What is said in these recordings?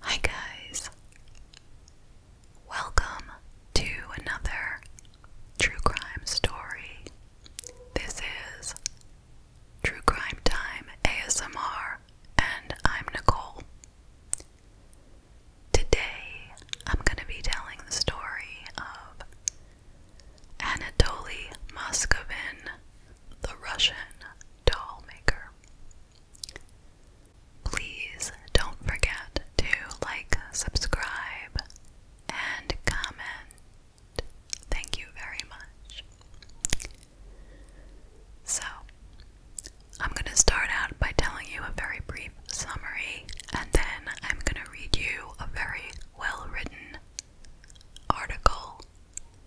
Hi, guys. Welcome to another true crime story. This is True Crime Time ASMR, and I'm Nicole. Today, I'm going to be telling the story of Anatoly Moscovin, the Russian doll maker. Please don't forget to like, subscribe, and comment. Thank you very much. So, I'm going to start out by telling you a very brief summary, and then I'm going to read you a very well written article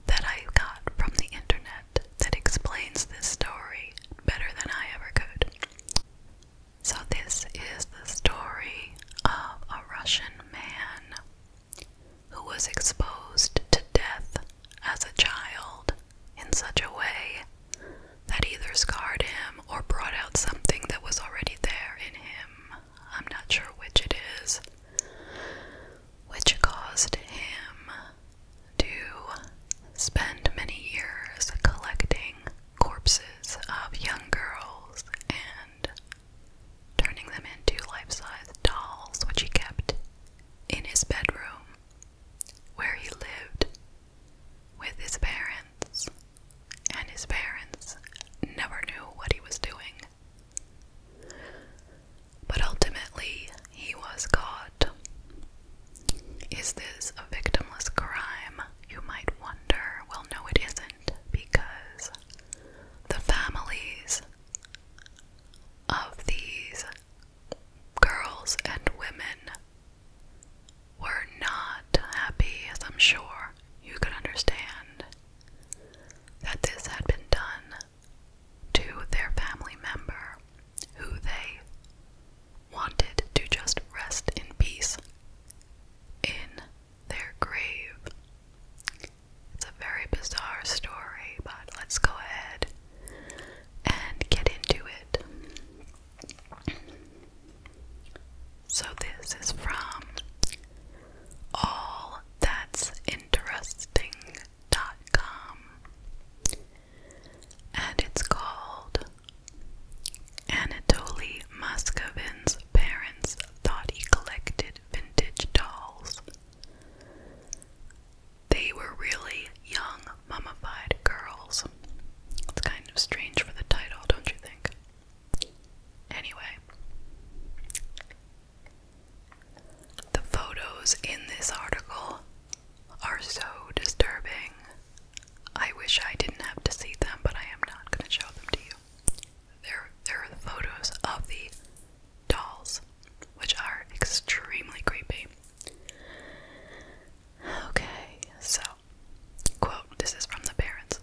that I got from the internet that explains this story better than I ever could. So, this is the story of a Russian man who was exposed to death as a child in such a way that either scarred him or brought out something that was already there in him. I'm not sure which it is, which caused him to spend many years collecting corpses of young girls and turning them into life sized dolls, which he kept in his bedroom where he lived with his parents, and his parents never knew what he was doing. But ultimately, he was caught. Is this a victimless crime? You might wonder. Well, no, it isn't, because the families of these girls and women were not happy, as I'm sure you could understand, that this had been done to their family member who they wanted to just rest in peace in their grave. It's a very bizarre story, but let's go ahead and get into it. So, this is from All That's Interesting Amazon.com and it's called Anatoly Muscovin's parents thought he collected vintage dolls. They were really young, mummified girls. It's kind of strange for the title, don't you think? Anyway, the photos in this article are so disturbing. I wish I didn't have to see them, but I am not going to show them to you. There, there are the photos of the dolls, which are extremely creepy. Okay, so, quote, this is from the parents.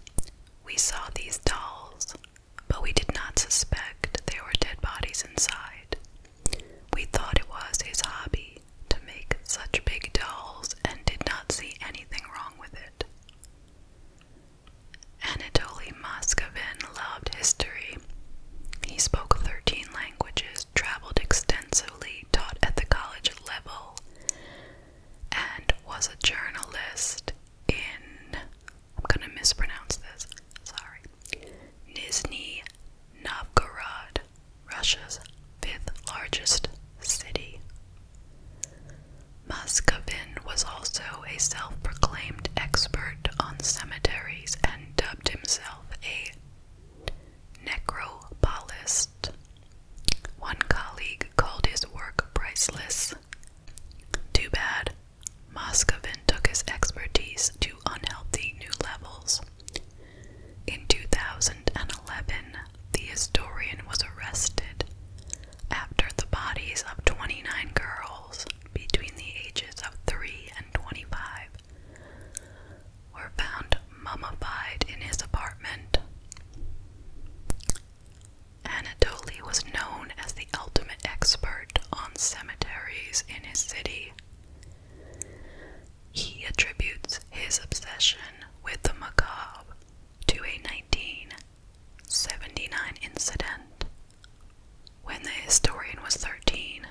We saw these dolls but we did not suspect there were dead bodies inside. We thought it was his hobby to make such big dolls and did not see anything wrong with it. Anatoly Moscovin loved history. He spoke 13 languages, traveled extensively, taught at the college level, and was a journalist in I'm gonna mispronounce this. Sorry. Nizhny Novgorod, Russia's fifth largest city. Muscovin was also a self proclaimed expert on cemeteries and dubbed himself a necropolist. One colleague called his work priceless. Too bad Moscovin took his expertise to unhealthy new levels. In 2011, the historian was arrested after the bodies of 29 girls between the ages of 3 and 25 were found mummified in his apartment. Anatoly was known as the ultimate expert on cemeteries in his city. He attributes his obsession with the macabre to a 1979 incident when the historian was 13.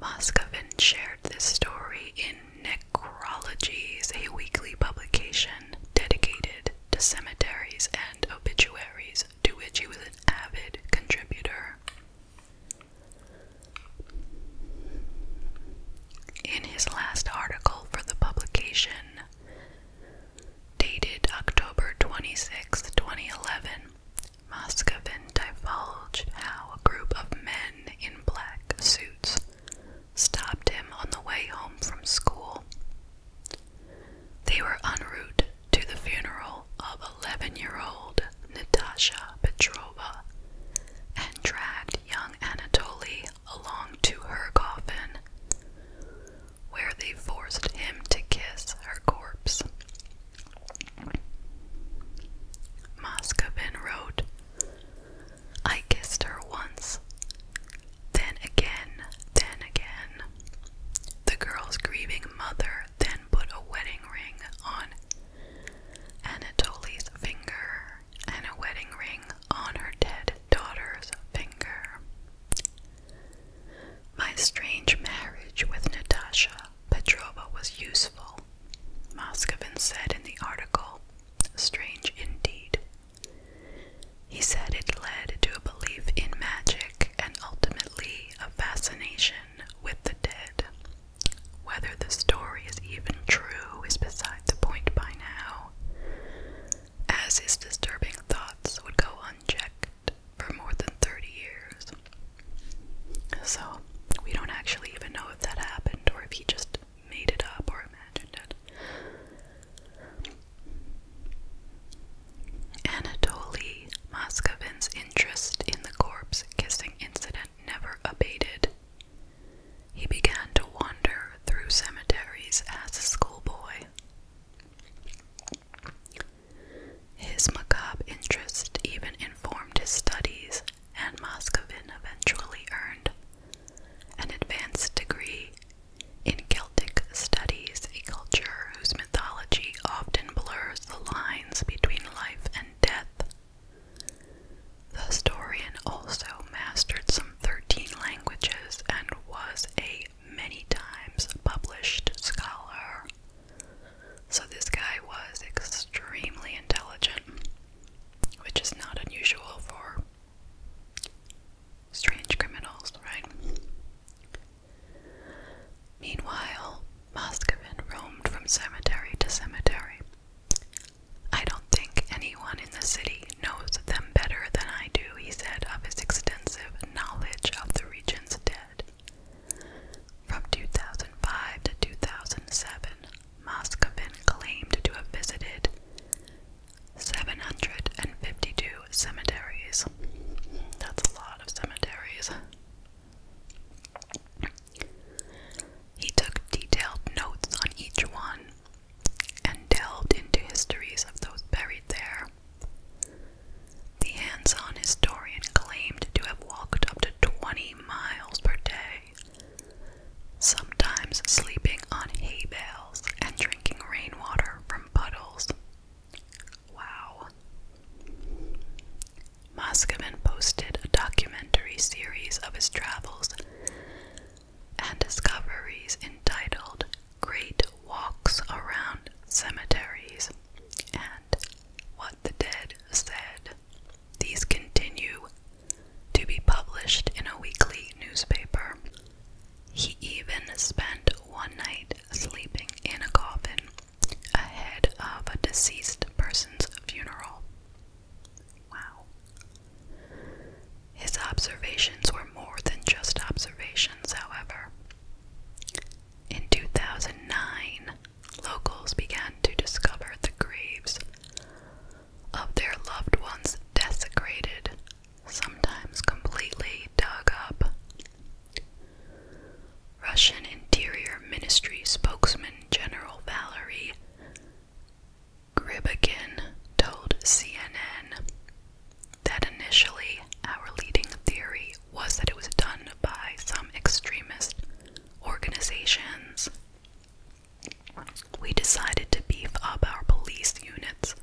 Moscovin shared this story in Necrologies, a weekly publication dedicated to cemeteries and obituaries, to which he was an avid contributor. In his last article for the publication, dated October 26, 2011, Moscovin divulged how a group of men in black suits stopped him on the way home from school they were en route to the funeral of 11 year old Natasha Petrova and dragged young Anatoly along to her coffin, where they forced him to kiss her corpse. Moscovin wrote, I kissed her once. Then again, then again. The girl's grieving mother then put a wedding ring on Anatoly's finger and a wedding ring on her dead daughter's finger. My strange marriage with Natasha Petrova was useful, Moscovin said in the article. Strange indeed, he said it led to a belief in magic and ultimately a fascination with the dead. Whether the story is even true is beside the point by now, as his disturbing thoughts would go unchecked for more than 30 years. So, we don't actually even know if that happened or if he just made it up or imagined it. Anatoly Moskovin's interest in the corpse kissing incident never abated. He began to wander through cemeteries as a schoolboy. His macabre interest even informed his studies, and Moscovin eventually earned an advanced degree in Celtic studies, a culture whose mythology often blurs the lines between life and death. The historian also mastered some 13 languages and was a many times published scholar. So, this guy was extremely intelligent, which is not unusual for Strange criminals, right? Meanwhile, Moscovin roamed from cemetery to cemetery. I don't think anyone in the city knows them better than I do, he said, of his extensive knowledge of the region's dead. From 2005 to 2007, Moscovin claimed to have visited 752 cemeteries. That's a lot of cemeteries. He took detailed notes on each one and delved into histories of those buried there. The hands on historian claimed to have walked up to 20 miles per day sometimes sleeping on hay bales and drinking rainwater from puddles. Wow. Moscovin posted a documentary series of his travels and discoveries entitled Great Walks Around Cemeteries and What the Dead Said. These continue to be published in a weekly newspaper. He even spent one night sleeping in a coffin ahead of a deceased person's funeral. Wow. His observations were more than just observations, however. In 2009, locals began to discover the graves of their loved ones desecrated, sometimes completely dug up. Russian Interior Ministry spokesman General Valery Gribakin told CNN that initially our leading theory was that it was done by some extremist organizations we decided to beef up our police units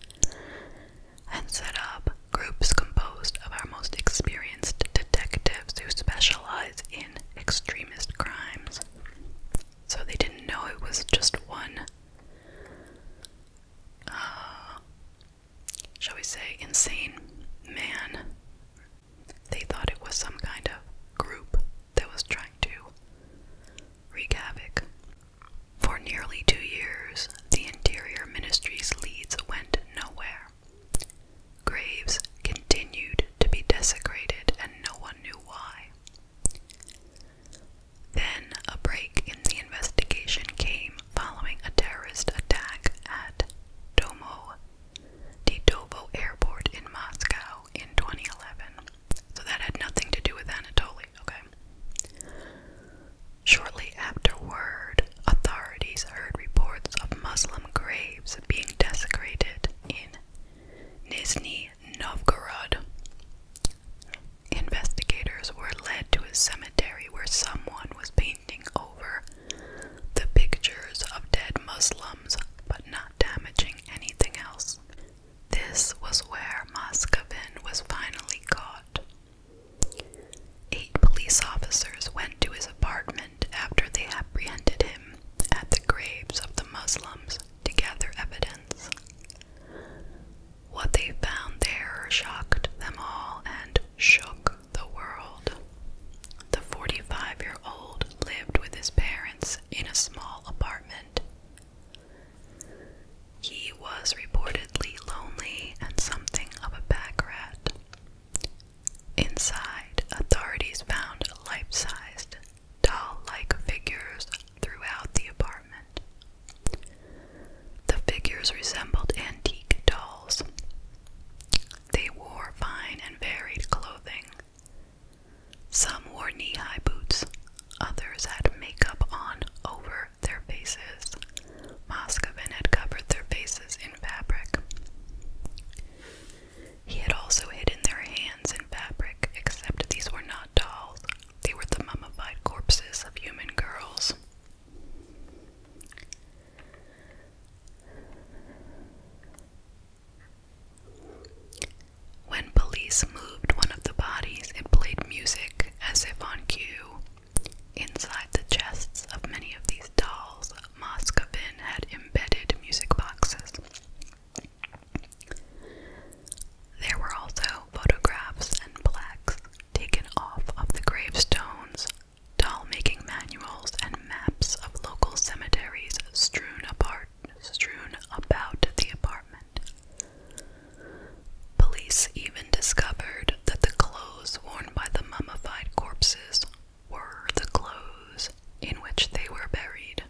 and set up groups composed of our most experienced detectives who specialize in extremist crimes. So they didn't know it was just one, uh, shall we say, insane man. They thought it was some kind of group that was trying to wreak havoc. For nearly two years, the Interior Ministry's leads went nowhere. Graves continued to be desecrated, and no one knew why. Then a break in the investigation came following a terrorist attack at Domo Titovo Airport in Moscow in 2011. So that had nothing to do with Anatoly, okay? Shortly afterward, authorities heard reports of Muslim graves being desecrated in Nizhny Novgorod. Investigators were led to a cemetery where someone was painting over the pictures of dead Muslims but not damaging anything else. This was where Moscovin was finally caught. Eight police officers went to his apartment after they apprehended him at the graves of the Muslims to gather evidence. What they found there shocked them all and shook the world. The 45 year old lived with his parents in a small apartment he was reportedly lonely and something of a pack rat. Inside, authorities found life sized, doll like figures throughout the apartment. The figures resembled antique dolls. They wore fine and varied clothing, some wore knee high boots, others had makeup on over their faces. Moscovin had covered their faces in fabric. He had also hidden their hands in fabric, except these were not dolls, they were the mummified corpses of human girls. When police moved one of the bodies, it played music as if on cue. Inside the chests of many of these dolls, Moscovin had embedded music boxes. There were also photographs and plaques taken off of the gravestones, doll making manuals, and maps of local cemeteries strewn apart strewn about the apartment. Police even discovered that the clothes worn by the mummified corpses were the clothes in which they were buried.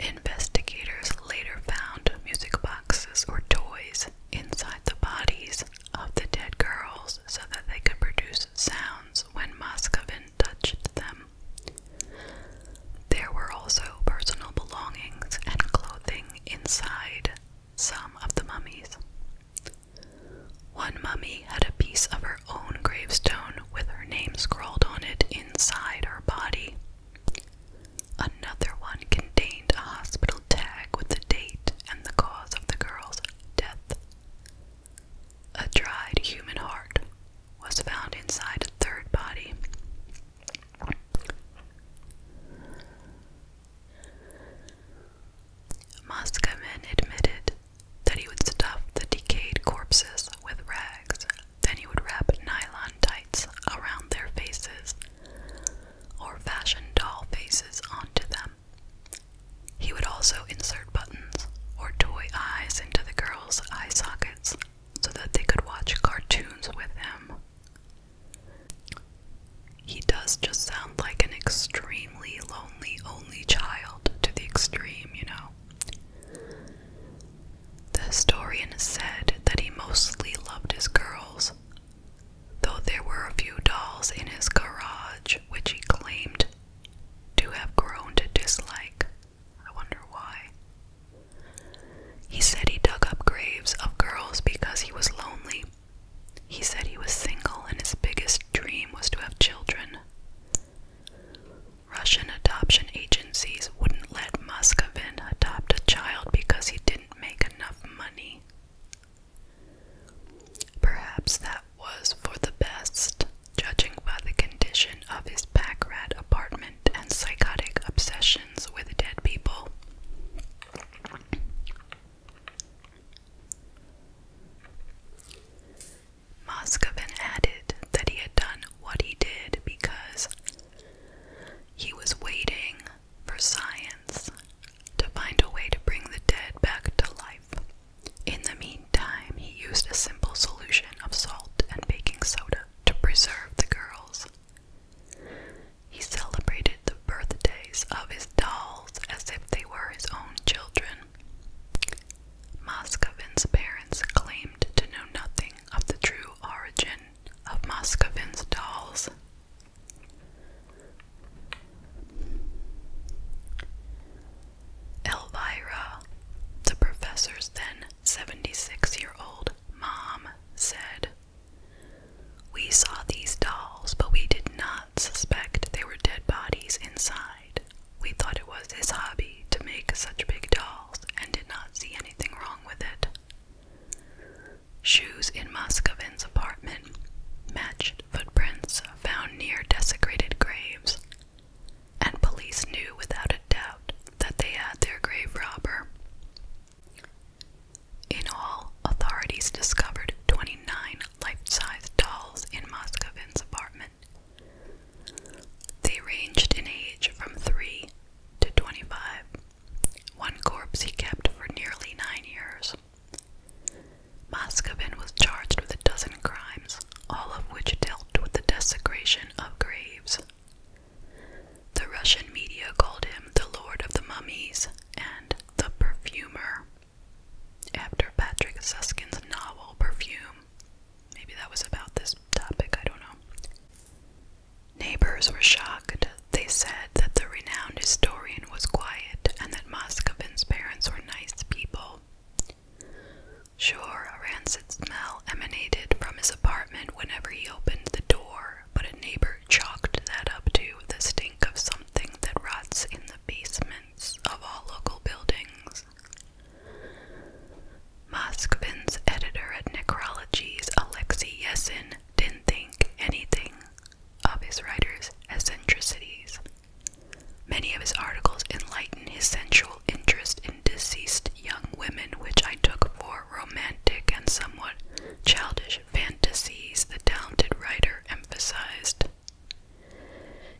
Investigators later found music boxes or toys inside the bodies of the dead girls so that they could produce sounds when Moscovin touched them. There were also personal belongings and clothing inside some of the mummies. One mummy had a piece of her own gravestone with her name scrawled on it inside her body. Another one contained a hospital tag with the date and the cause of the girl's death. A dried human heart was found inside a third body. Muskamen admitted that he would stuff the decayed corpses with rags, then he would wrap nylon tights around their faces or fashion doll faces onto them. He would also insert buttons or toy eyes into the girls' eye sockets so that they could watch cartoons with him. He does just sound like an extremely lonely only child to the extreme, you know. The historian said that he mostly loved his girls, though there were a few dolls in his garage which he claimed to have grown to dislike. I wonder why. He said he dug up graves of girls because he was lonely. He said he was single and his biggest dream was to have children. Russian adoption agencies wouldn't let Muscovin adopt a child because he didn't make enough money. Perhaps that was for the best, judging by the condition of his pack apartment and psychotic obsessions with dead people. Moscovin added that he had done what he did because he was waiting for science to find a way to bring the dead back to life. In the meantime, he used a simple solution of salt and baking soda to preserve the girls. He celebrated the birthdays of his dolls as if they were his own children. Moskovin's parents claimed to know nothing of the true origin of Moskovin's dolls. Elvira, the professor's then 76 year old mom, said, We saw these dolls, but we did not suspect they were dead bodies inside. We thought it was his hobby to make such big dolls and did not see anything wrong with it. Shoes in Moscovin's apartment matched footprints found near desecrated graves, and police knew without a doubt that they had their grave robber. In all, authorities discovered 29 life life-sized dolls in Moskovin's apartment. They ranged in age from 3 to 25. One corpse he kept for nearly nine years. Moscovin was charged with a dozen crimes, all of which dealt with the desecration of graves. The Russian media called him the Lord of the Mummies and the Perfumer, after Patrick Susskind's novel Perfume. Maybe that was about this topic, I don't know. Neighbors were shocked. They said that the renowned historian was quiet and that Moscovin's parents were nice people. Sure, a rancid smell emanated from his apartment whenever he opened the door, but a neighbor chalked that up to the stink of something that rots in the basements of all local buildings. Moskvin's editor at Necrologies, Alexei Yesin, didn't think anything of his writer's eccentricities. Many of his articles enlighten his sensual interest in deceased young women, which I took for romantic and somewhat childish fantasies, the talented writer emphasized.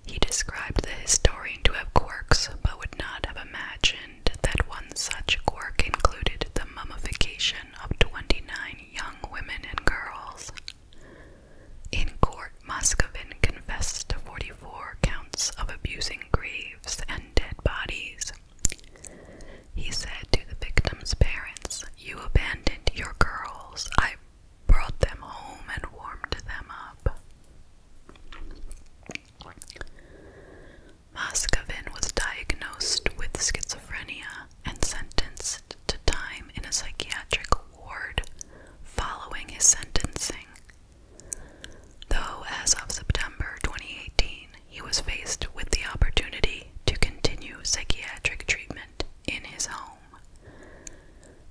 He described the historian to have quirks, but would not have imagined that one such quirk included the mummification of 29 young women and girls. In court, Muscovin confessed to 44 counts of abusing graves and dead bodies. He said to the victim's parents, You abandoned your girls. I brought them home and warmed them up. Moscovin was diagnosed with schizophrenia and sentenced to time in a psychiatric ward following his sentencing. Though, as of September 2018, he was faced with the opportunity to continue psychiatric treatment in his home,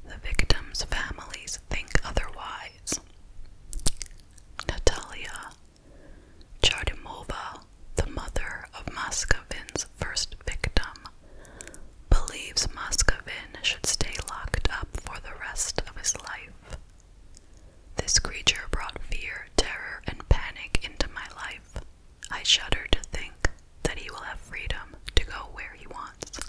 the victims' families think otherwise. Natalia Chardimova the mother of Moscovin's first victim, believes Moscovin should stay locked up for the rest of his life. This creature brought fear, terror, and panic into my life. I shudder to think that he will have freedom to go where he wants.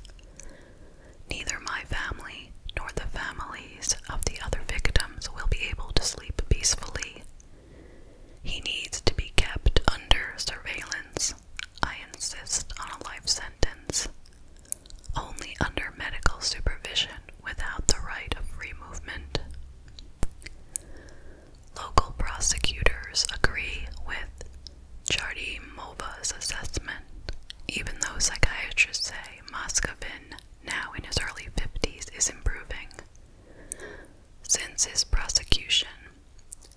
Neither my family nor the families of the other victims will be able to sleep peacefully he needs to be kept under surveillance. I insist on a life sentence. Only under medical supervision without the right of free movement. Local prosecutors agree with Chardy Mova's assessment, even though psychiatrists say Moscovin, now in his early 50s, is improving. Since his prosecution,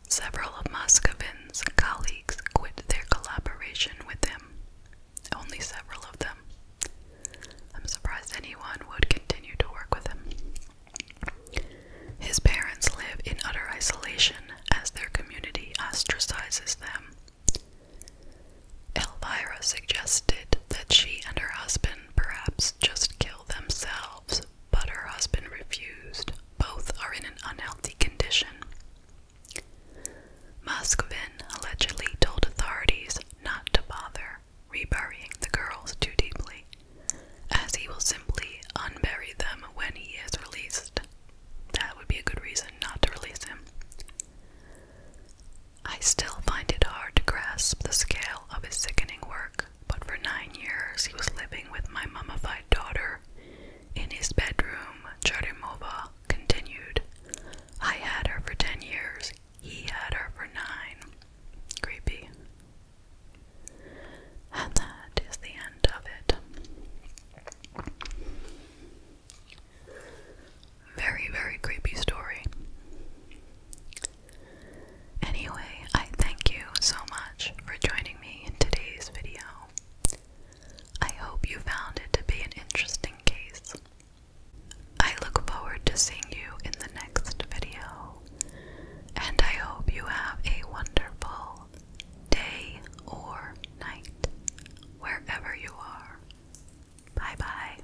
several of Muscovin's colleagues quit their collaboration with him. Only several of them. I'm surprised anyone would continue to work with him. His parents live in utter isolation as their community ostracizes them. Elvira suggested that she and her husband perhaps just kill themselves but her husband refused. Both are in an unhealthy condition. Muscovin allegedly told authorities not to bother reburying the girls too deeply, as he will simply unbury them when he is released. That would be a good reason not to release him. I still find it hard to grasp the scale of his sickening work. But for nine years, he was living with my mummified daughter. In his bedroom, Charimova continued. I had her for ten years, he had her for nine. Creepy. And that is the end of it. Very, very creepy story. Anyway, I thank you so much for joining me in today's video. I hope you found it to be an interesting case. I look forward to seeing you in the next video, and I hope you have a wonderful day or night wherever you are. Bye bye.